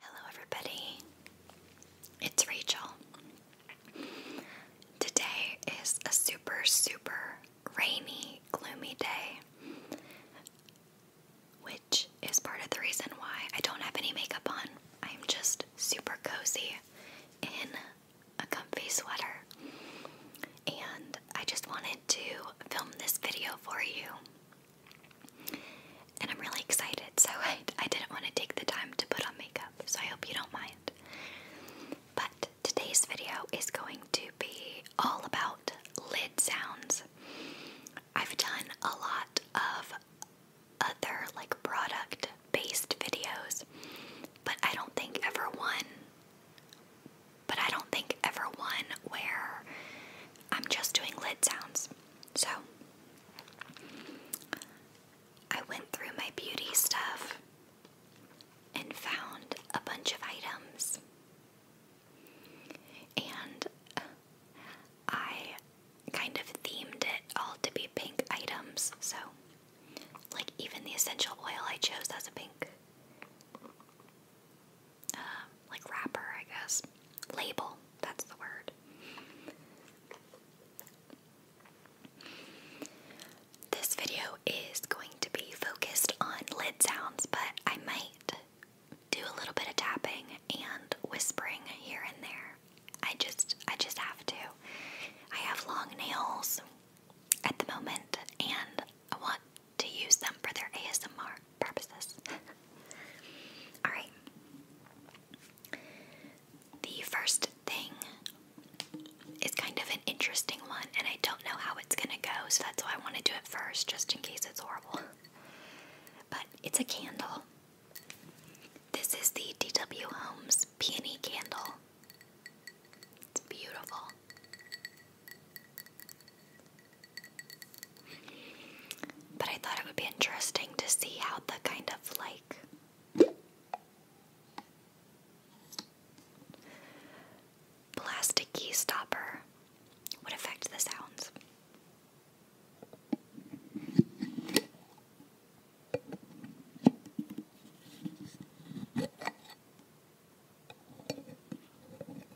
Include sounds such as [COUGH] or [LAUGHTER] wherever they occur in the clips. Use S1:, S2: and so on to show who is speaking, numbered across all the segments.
S1: Hello, everybody. It's Rachel. Today is a super, super rainy, gloomy day, which is part of the reason why I don't have any makeup on. I'm just super cozy in a comfy sweater. And I just wanted to film this video for you. And I'm really excited, so [LAUGHS] I, didn't want to take the time to put on makeup, so I hope you don't mind. But today's video is going to be all about lid sounds. I've done a lot of other like product based videos, but I don't think ever one but I don't think ever one where I'm just doing lid sounds. So I went through my beauty stuff and found a bunch of items. And I kind of themed it all to be pink items. So, like, even the essential oil I chose as a pink. Um, like wrapper, I guess. Label, that's the word. This video is going to be focused on lid sounds, but I might do a little bit of tapping and whispering here and there. I just I just have to. I have long nails at the moment and I want to use them for their ASMR purposes. [LAUGHS] Alright. The first thing is kind of an interesting one, and I don't know how it's gonna go, so that's why I want to do it first, just in case it's horrible. [LAUGHS] But it's a candle. This is the DW Homes Peony Candle. It's beautiful. But I thought it would be interesting to see how the kind of like plastic key stopper would affect the sounds.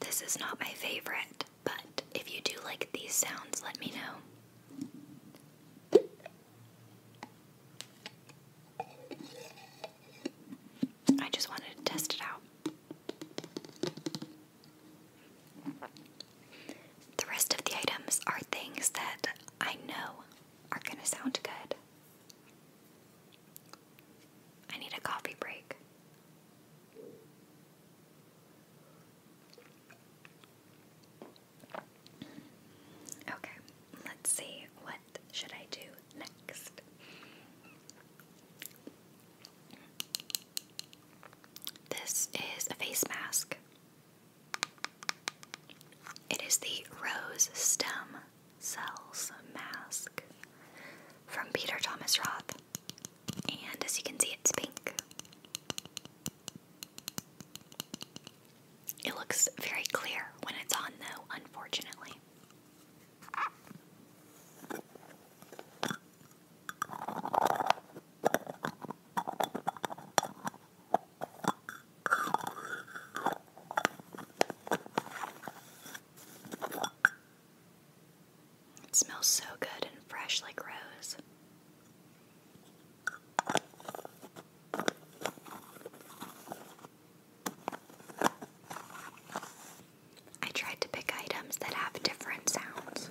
S1: This is not my favorite, but if you do like these sounds, let me know. I just wanted to test it out. The rest of the items are things that I know are going to sound good. I need a coffee break. Okay, let's see what should I do next. This is a face mask. It is the Rose Stem Cells Mask from Peter Thomas Roth. And as you can see, it's pink. It looks very clear when it's on, though, unfortunately. It smells so good and fresh like rose. I tried to pick items that have different sounds.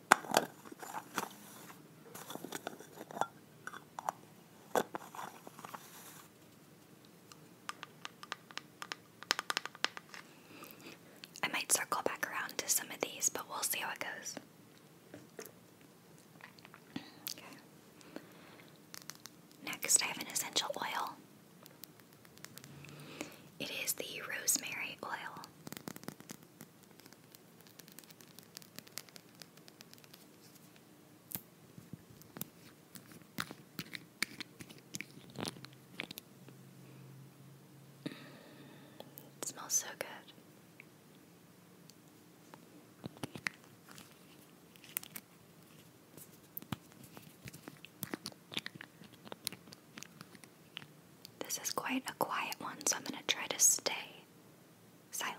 S1: I might circle back around to some of these, but we'll see how it goes. Next, I have an essential oil. It is the rosemary oil. It smells so good. This is quite a quiet one, so I'm going to try to stay silent.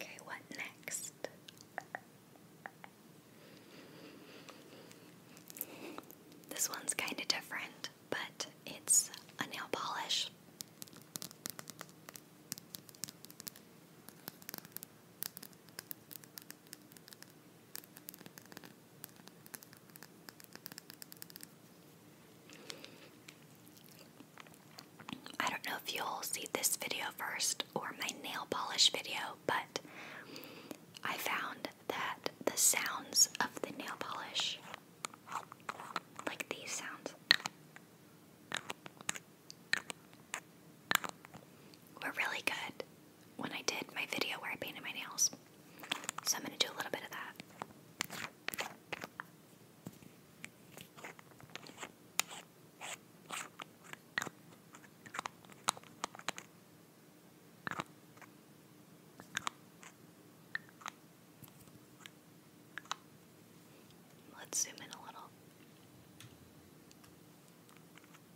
S1: Okay, what next? This one's kind of different, but it's a nail polish. I don't know if you'll see this video first or my nail polish video, but I found that the sounds of the nail polish, like these sounds, were really good when I did my video where I painted my nails. So I'm going to do a little bit of that. Let's zoom in a little.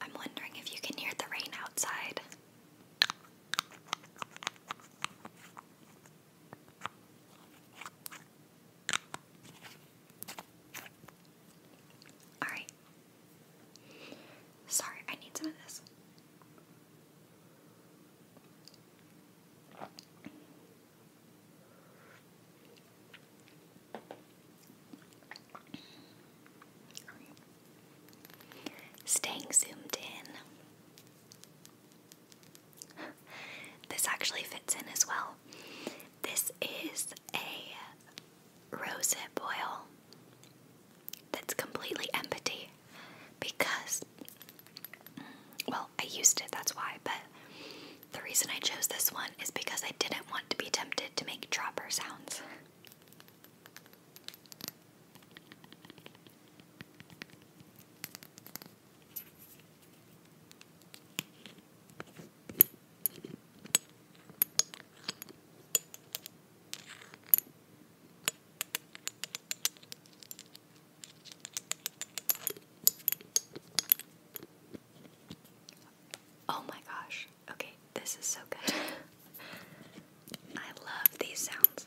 S1: I'm wondering if you can hear the rain outside. Alright. Sorry, I need some of this. Staying zoomed in. this actually fits in as well. This is a rosehip oil that's completely empty because, well, I used it, that's why, but the reason I chose this one is because I didn't want to be tempted to make dropper sounds. Oh my gosh. Okay, this is so good. [LAUGHS] I love these sounds.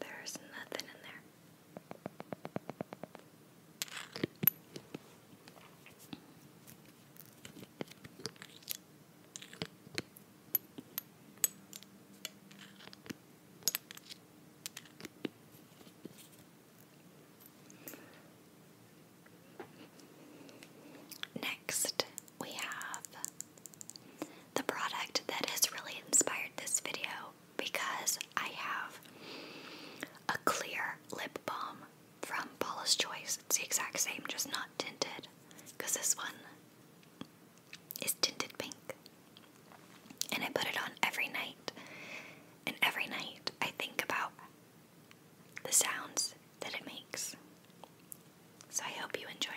S1: There's nothing in there. Next, we have the product that has really inspired this video because I have a clear lip balm from Paula's Choice. It's the exact same, just not tinted, because this one is tinted pink. And I put it on every night and every night I think about the sounds that it makes. So I hope you enjoy it.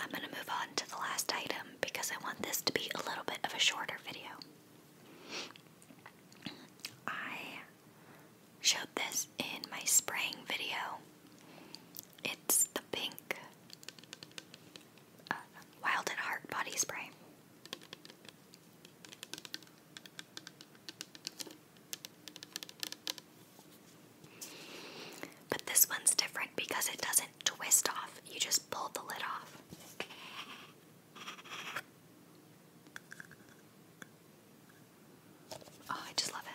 S1: I'm going to move on to the last item because I want this to be a little bit of a shorter video. I showed this in my spraying video. It's the pink uh, Wild at Heart body spray. But this one's different because it doesn't twist off, you just pull the lid off. Oh, I just love it.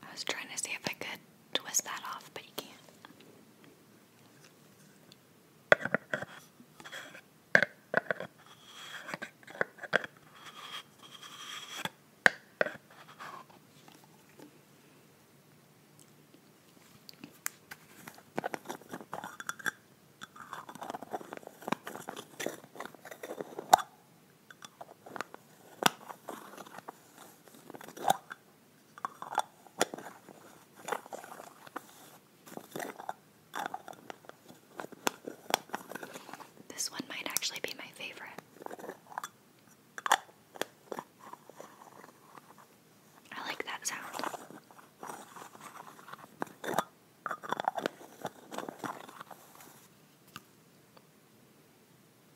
S1: I was trying to see if I could twist that off, but you can't. This one might actually be my favorite. I like that sound.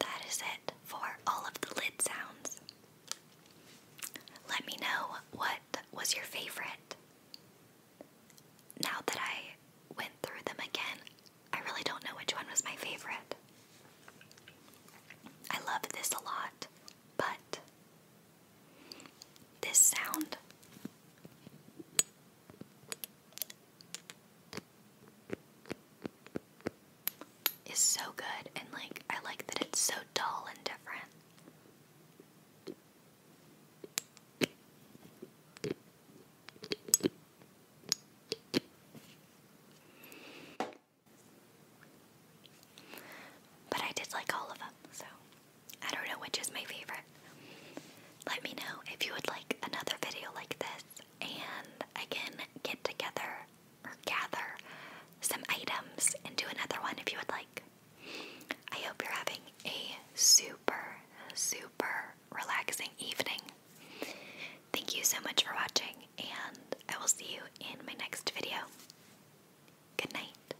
S1: That is it for all of the lid sounds. Let me know what was your favorite. Now that I went through them again, I really don't know which one was my favorite. I love this a lot, but this sound is so good and like I like that it's so dull and different. But I did like all of them, so I don't know which is my favorite. Let me know if you would like another video like this and I can get together or gather some items and do another one if you would like. I hope you're having a super, super relaxing evening. Thank you so much for watching, and I will see you in my next video. Good night.